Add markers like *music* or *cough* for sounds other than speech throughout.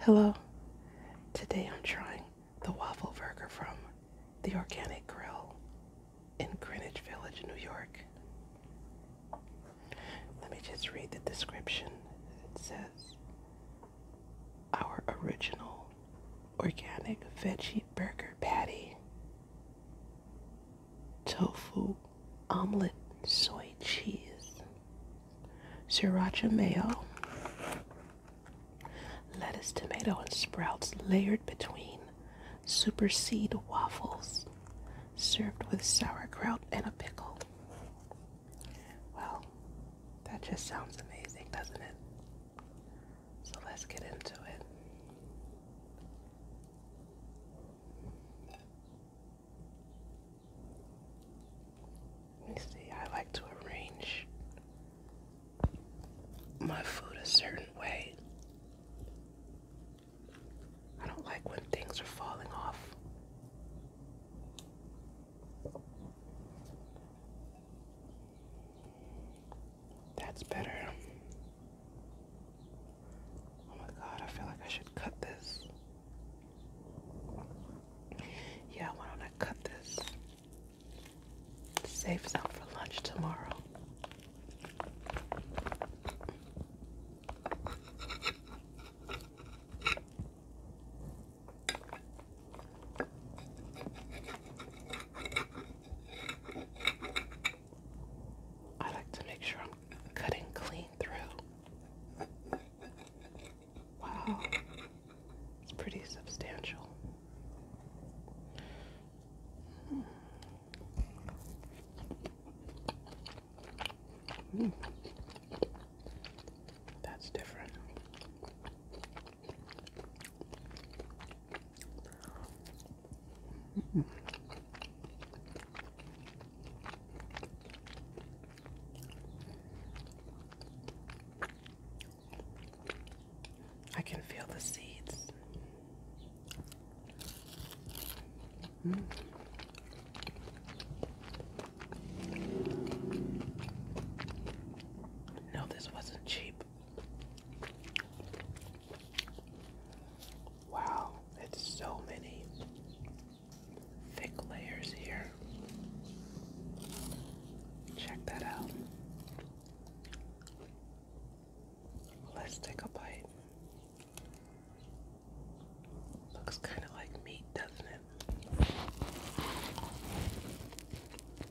Hello. Today I'm trying the waffle burger from the Organic Grill in Greenwich Village, New York. Let me just read the description. It says, Our original organic veggie burger patty, tofu omelet, soy cheese, sriracha mayo, lettuce, tomato, and sprouts layered between superseed waffles, served with sauerkraut and a pickle. Well, that just sounds amazing, doesn't it? So let's get into it. You see, I like to arrange my food a certain way. I don't like when things are falling off. That's better. Oh my god, I feel like I should cut this. Yeah, why don't I cut this? It saves out for lunch tomorrow. I like to make sure I'm cutting clean through. Wow, it's pretty substantial. Hmm. Hmm. That's different. I can feel the seeds. Mm. No, this wasn't cheap. Wow, it's so many thick layers here. Check that out. Let's take a bite. Looks kind of like meat, doesn't it?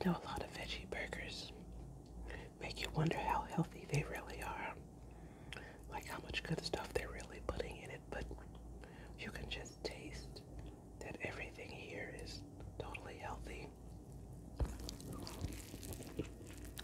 You know, a lot of veggie burgers make you wonder how healthy they really are. Like how much good stuff they're really putting in it, but you can just taste that everything here is totally healthy.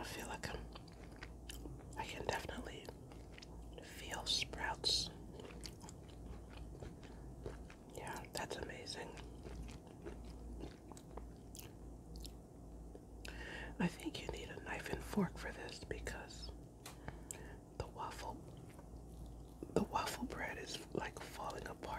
I feel like I'm, I can definitely feel sprouts. Yeah, that's amazing. I think you need a knife and fork for this because the waffle the waffle bread is like falling apart.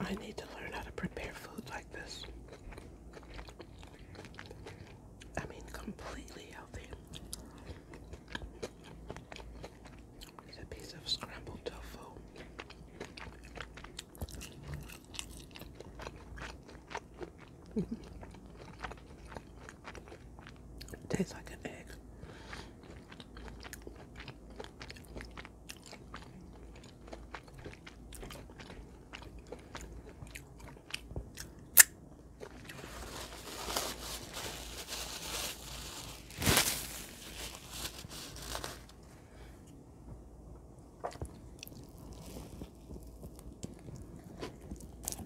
I need to learn how to prepare food like this. I mean, completely healthy. It's a piece of scrambled tofu. Tastes like an egg.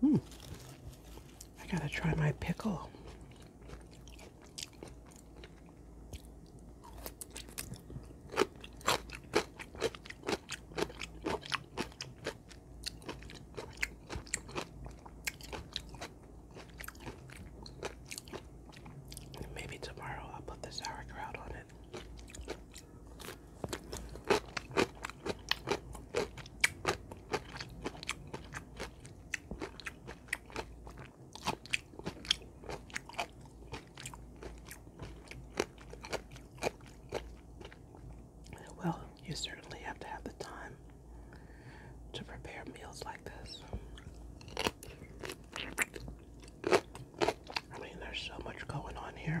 Hmm. I gotta try my pickle. Maybe tomorrow I'll put the sauerkraut on it. Well, you certainly have to have the time to prepare meals like this. I mean, there's so much going on here.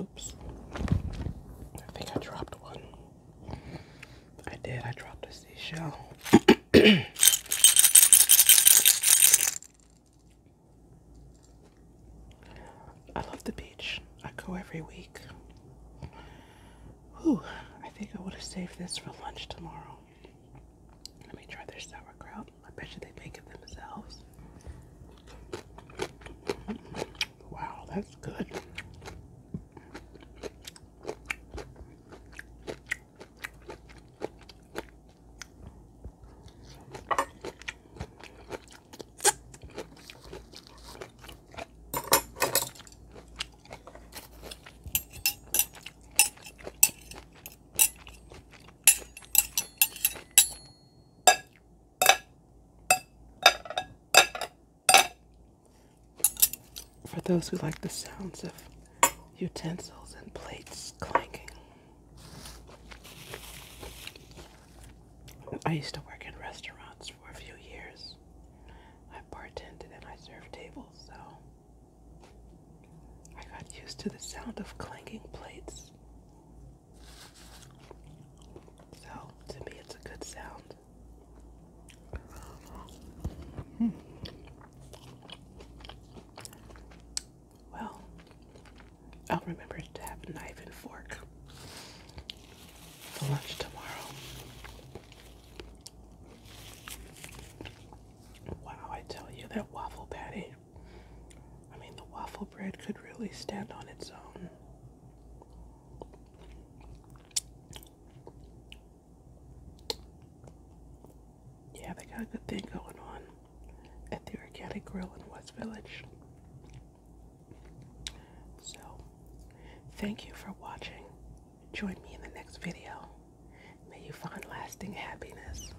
Oops. I think I dropped one. I did. I dropped a seashell. *coughs* I love the beach. I go every week. Whew. I think I would have saved this for lunch tomorrow. Let me try their sauerkraut. I bet you they make it themselves. Wow, that's good. For those who like the sounds of utensils and plates clanking, I used to work in restaurants for a few years. I bartended and I served tables, so I got used to the sound of clanking plates so, to me, it's a good sound. Well, I'll remember to have knife and fork for lunch tomorrow. Wow, I tell you, that waffle patty. I mean, the waffle bread could really stand on its own. Yeah, they got a good thing going on at the Organic Grill in West Village. So, thank you for watching. Join me in the next video. May you find lasting happiness.